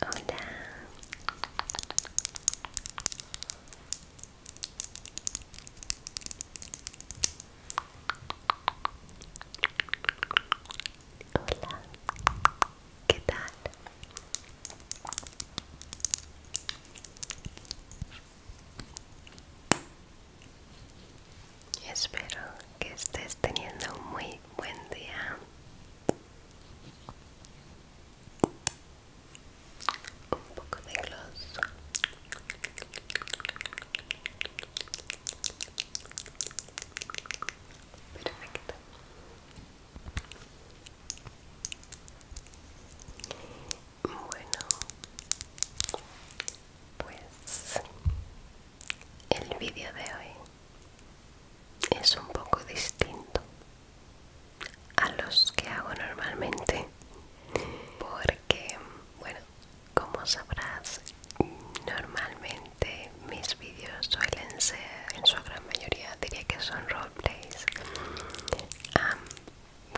Hola. Hola. ¿Qué tal? Espero que estés teniendo un muy buen día un poco de gloss perfecto bueno pues el vídeo de hoy es un poco distinto a los que hago normalmente porque bueno como sabrás normalmente mis vídeos suelen ser en su gran mayoría diría que son roleplays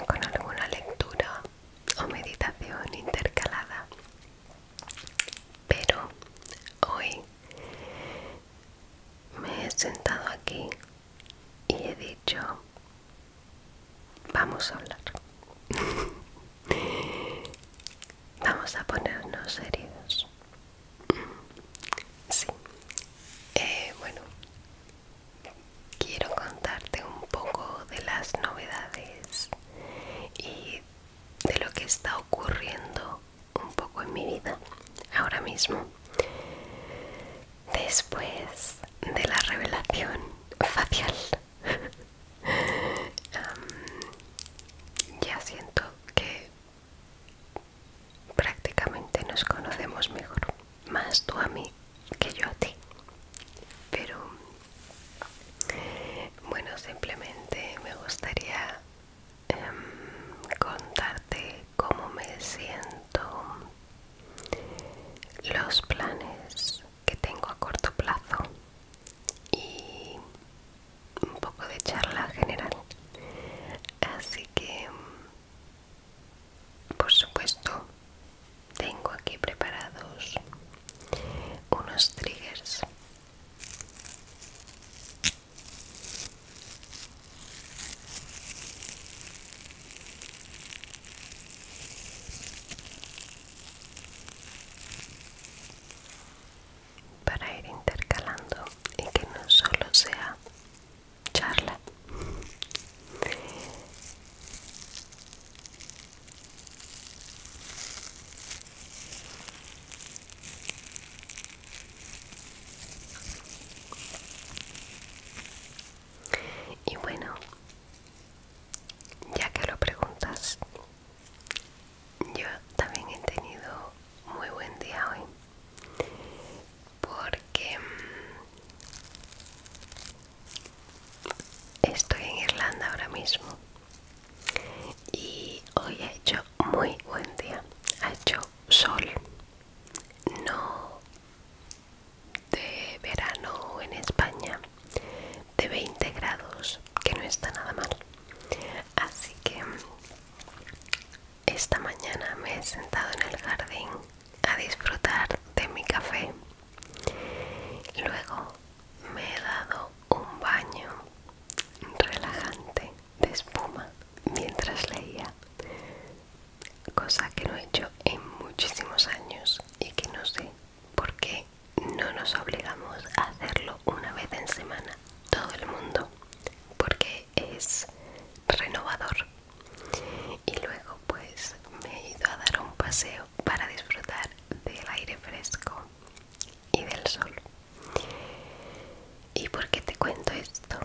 con alguna lectura o meditación intercalada pero hoy me he sentado aquí y he dicho, vamos a hablar. vamos a ponernos serios. Sí. Eh, bueno, quiero contarte un poco de las novedades y de lo que está ocurriendo un poco en mi vida ahora mismo después de la revelación facial ya siento que prácticamente nos conocemos mejor más tú a mí que yo a ti pero bueno, simplemente me gustaría em, contarte cómo me siento, los planes que tengo a corto plazo y un poco de charla general. Así que, por supuesto, tengo aquí preparados unos triggers para ir intercalando y que no solo sea charla y bueno, ya que lo preguntas, yo también he tenido muy buen día hoy porque mm, estoy en Irlanda ahora mismo y hoy ha hecho muy buen día ha hecho sol no de verano en España de 20 grados que no está nada mal así que esta mañana me he sentado en el jardín a disfrutar de mi café luego me he dado un baño relajante de espuma mientras leía, cosa que no he hecho en muchísimos años y que no sé por qué no nos obligamos a hacerlo una vez en semana, todo el mundo, porque es renovador. Y luego pues me he ido a dar un paseo para disfrutar del aire fresco y del sol. ¿Y por qué te cuento esto?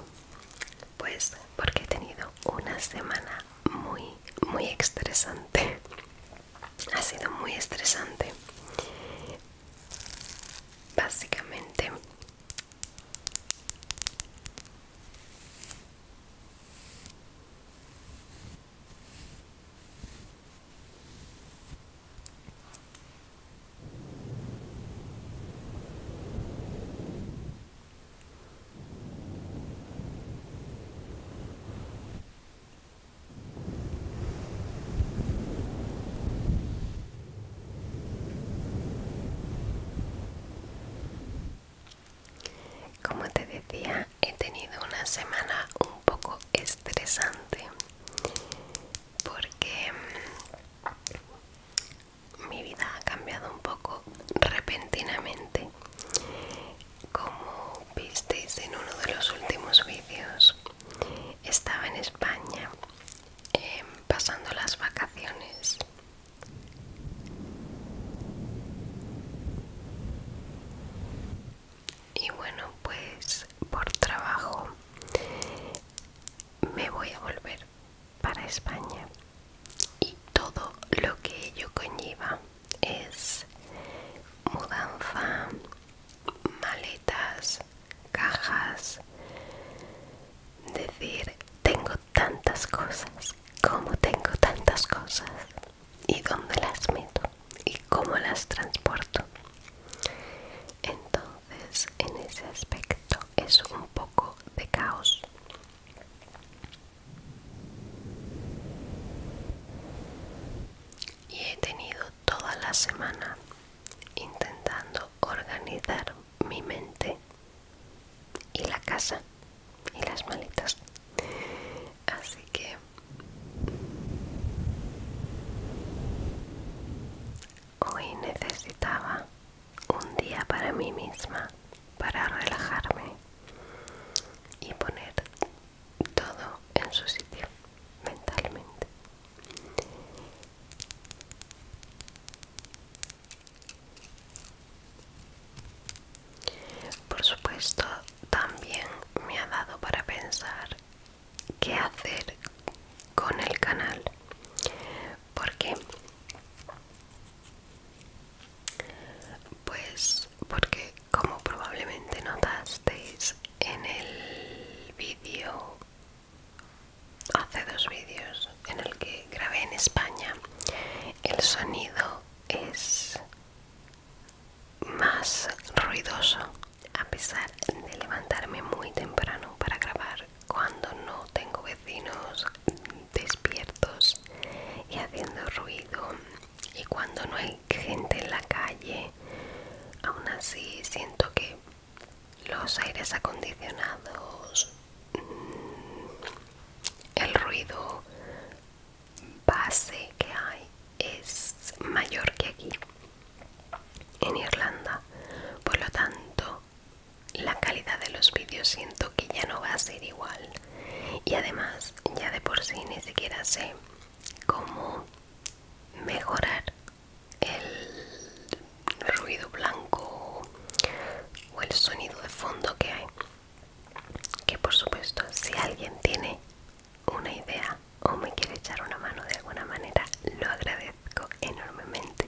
Pues porque he tenido una semana muy, muy estresante. Ha sido muy estresante. Básicamente... Como te decía, he tenido una semana un poco estresante porque mm, mi vida ha cambiado un poco repentinamente como visteis en uno de los últimos vídeos estaba en España em, pasando las vacaciones y bueno pues por trabajo me voy a volver para España y todo lo que ello conlleva es mudanza, maletas, cajas, decir tengo tantas cosas, como tengo tantas cosas y dónde las meto y cómo las transporto. Entonces, en ese aspecto es un poco de caos. Y he tenido toda la semana intentando organizar mi mente y la casa y las maletas. Así que hoy necesitaba un día para mí misma, para relajarme y poner todo en su sitio mentalmente. Por supuesto, también me ha dado para pensar qué hacer con el canal, porque pues porque como probablemente notasteis en el vídeo hace dos vídeos en el que grabé en España, el sonido es más ruidoso a pesar de levantarme muy temprano para grabar cuando no tengo vecinos despiertos y haciendo ruido y cuando no hay gente en la calle aún así siento que los aires acondicionados mm, el ruido base que hay es mayor que aquí en Irlanda por lo tanto la calidad de los vídeos siento que ya no va a ser igual y además ya de por sí ni siquiera sé cómo mejorar el ruido blanco o el sonido de fondo que hay que por supuesto si alguien tiene una idea o me quiere echar una mano de alguna manera lo agradezco enormemente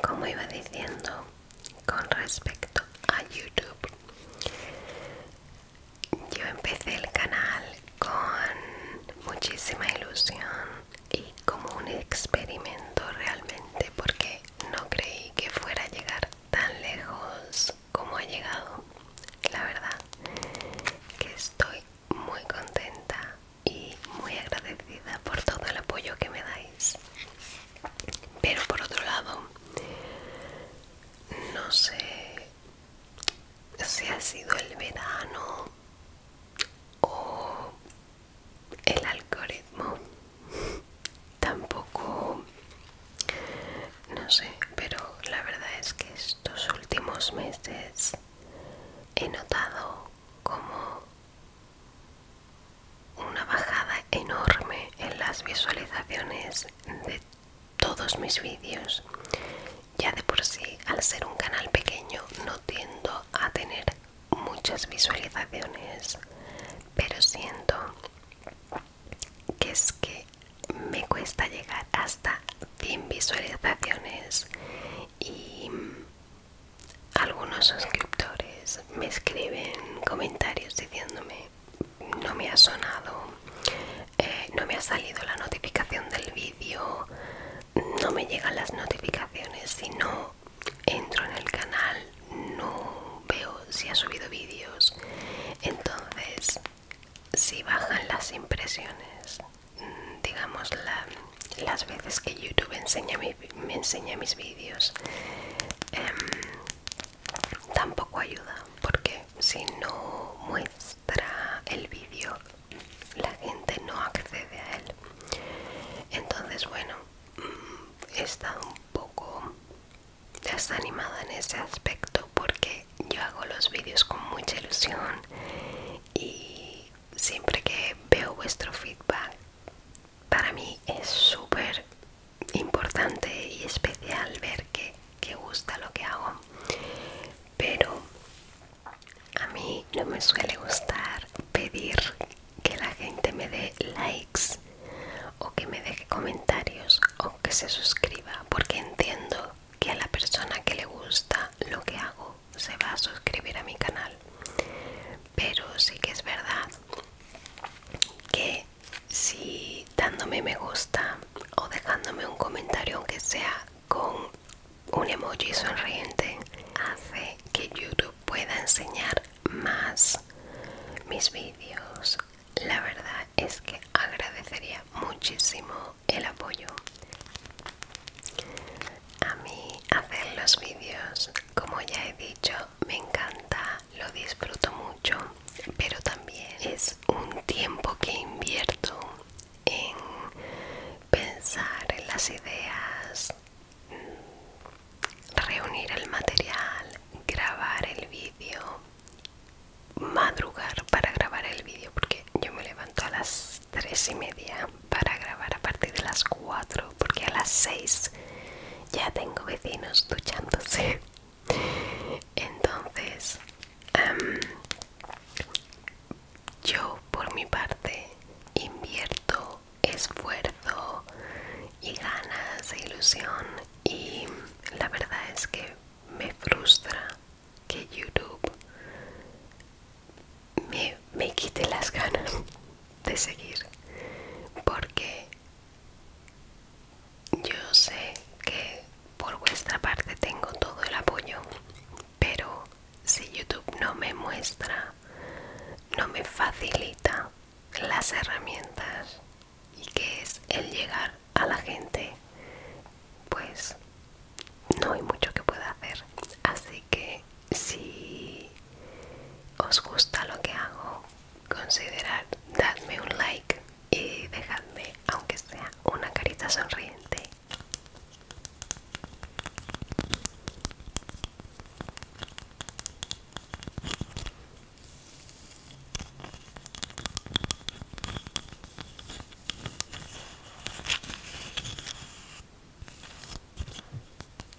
Como iba diciendo con respecto a YouTube, yo empecé el canal con muchísima ilusión y como un experimento realmente porque no creí que fuera a llegar tan lejos como ha llegado. La verdad que estoy muy contenta y muy agradecida por todo el apoyo que me dais. Pero por otro lado, no sé si ha sido el verano o el algoritmo tampoco no sé pero la verdad es que estos últimos meses he notado como una bajada enorme en las visualizaciones de todos mis vídeos. Ya de por sí, al ser un canal pequeño, no tiendo a tener muchas visualizaciones, pero siento que es que me cuesta llegar hasta 100 visualizaciones y algunos suscriptores me escriben comentarios diciéndome no me ha sonado, eh, no me ha salido la notificación del vídeo, no me llegan las notificaciones, si no entro en el canal no veo si ha subido vídeos, entonces si bajan las impresiones, mm, digamos la, las veces que YouTube enseña me enseña mis vídeos, em, tampoco ayuda porque si no muestra el vídeo la gente no accede a él entonces bueno mm, he estado un poco desanimada en ese aspecto porque yo hago los vídeos con mucha ilusión y siempre que veo vuestro feedback para mí es súper importante y especial ver que, que gusta lo que hago pero a mí no me suele gustar pedir que la gente me dé likes o que me deje comentarios o que se suscriba porque entiendo que a la persona que le gusta lo que hago se va a suscribir a mi canal pero sí que es verdad que si dándome me gusta o dejándome un comentario aunque sea con un emoji sonriente hace que YouTube pueda enseñar más mis vídeos. La verdad es que agradecería muchísimo el apoyo. A mí hacer los vídeos, como ya he dicho, me encanta lo disfruto mucho, pero también es un tiempo que invierto en pensar en las ideas, mm, reunir el material, grabar el vídeo, madrugar para grabar el vídeo, porque yo me levanto a las 3 y media para grabar a partir de las 4, porque a las 6 ya tengo vecinos duchándose. Entonces, em, yo por mi parte invierto esfuerzo y ganas e ilusión y la verdad es que me frustra que YouTube me, me quite las ganas de seguir porque yo sé que por vuestra parte tengo todo el apoyo, pero si YouTube no me muestra, no me facilita las herramientas y que es el llegar a la gente, pues no hay mucho que pueda hacer. Así que si os gusta lo que hago, considerad dadme un like y dejadme, aunque sea una carita sonriente.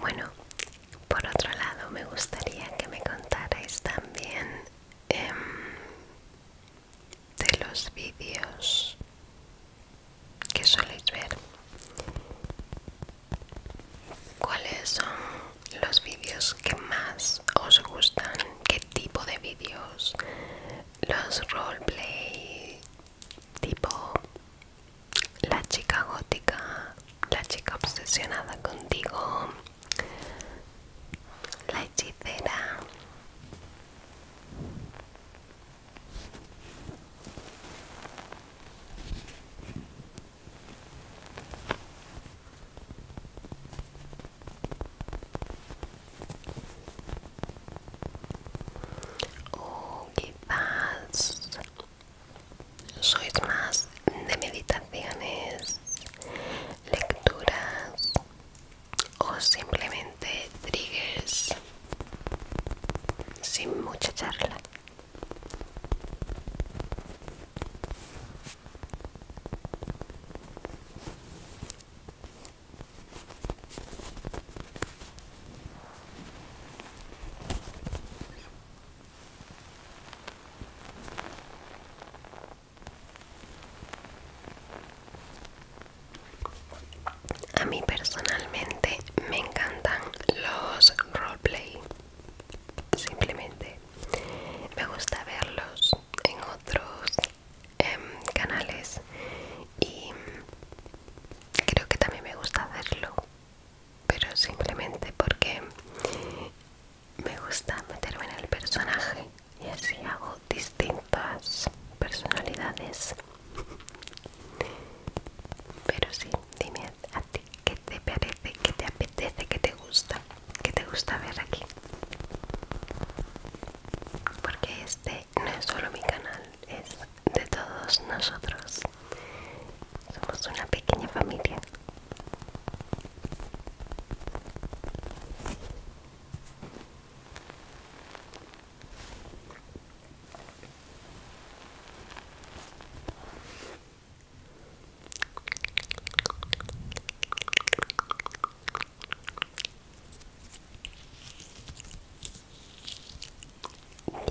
Bueno, por otro lado me gustaría que me contarais también em, de los vídeos que soléis ver cuáles son los vídeos que más os gustan qué tipo de vídeos los roleplay tipo la chica gótica la chica obsesionada contigo la hechicera o oh, quizás soy más de meditaciones lecturas o simplemente triggers sin mucha charla. A mí personalmente me encantan los roleplay. Simplemente me gusta verlos en otros em, canales y creo que también me gusta hacerlo, pero simplemente porque me gusta meterme en el personaje y así hago distintas personalidades. Pero sí, dime a ti qué te parece, que te apetece, que te gusta, que te gusta ver aquí. Porque este no es solo mi canal, es de todos nosotros. Somos una pequeña familia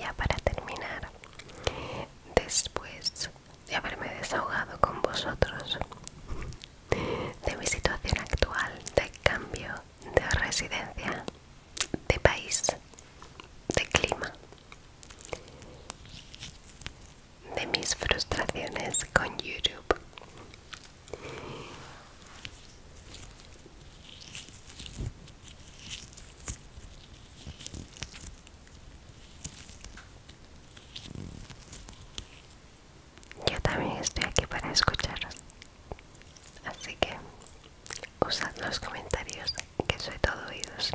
ya para terminar, después de haberme desahogado con vosotros de mi situación actual de cambio de residencia, de país, de clima, de mis frustraciones con YouTube. Yo también estoy aquí para escucharos. Así que usad los comentarios, que soy todo oídos.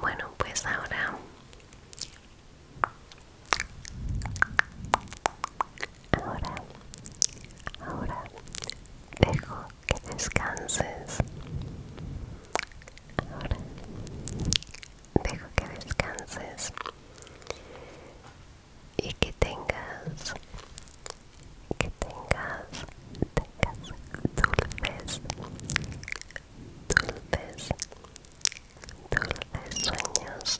Bueno, pues ahora ahora ahora dejo que descanses. Ahora dejo que descanses y que tengas, que tengas, tengas dulces, dulces, dulces sueños.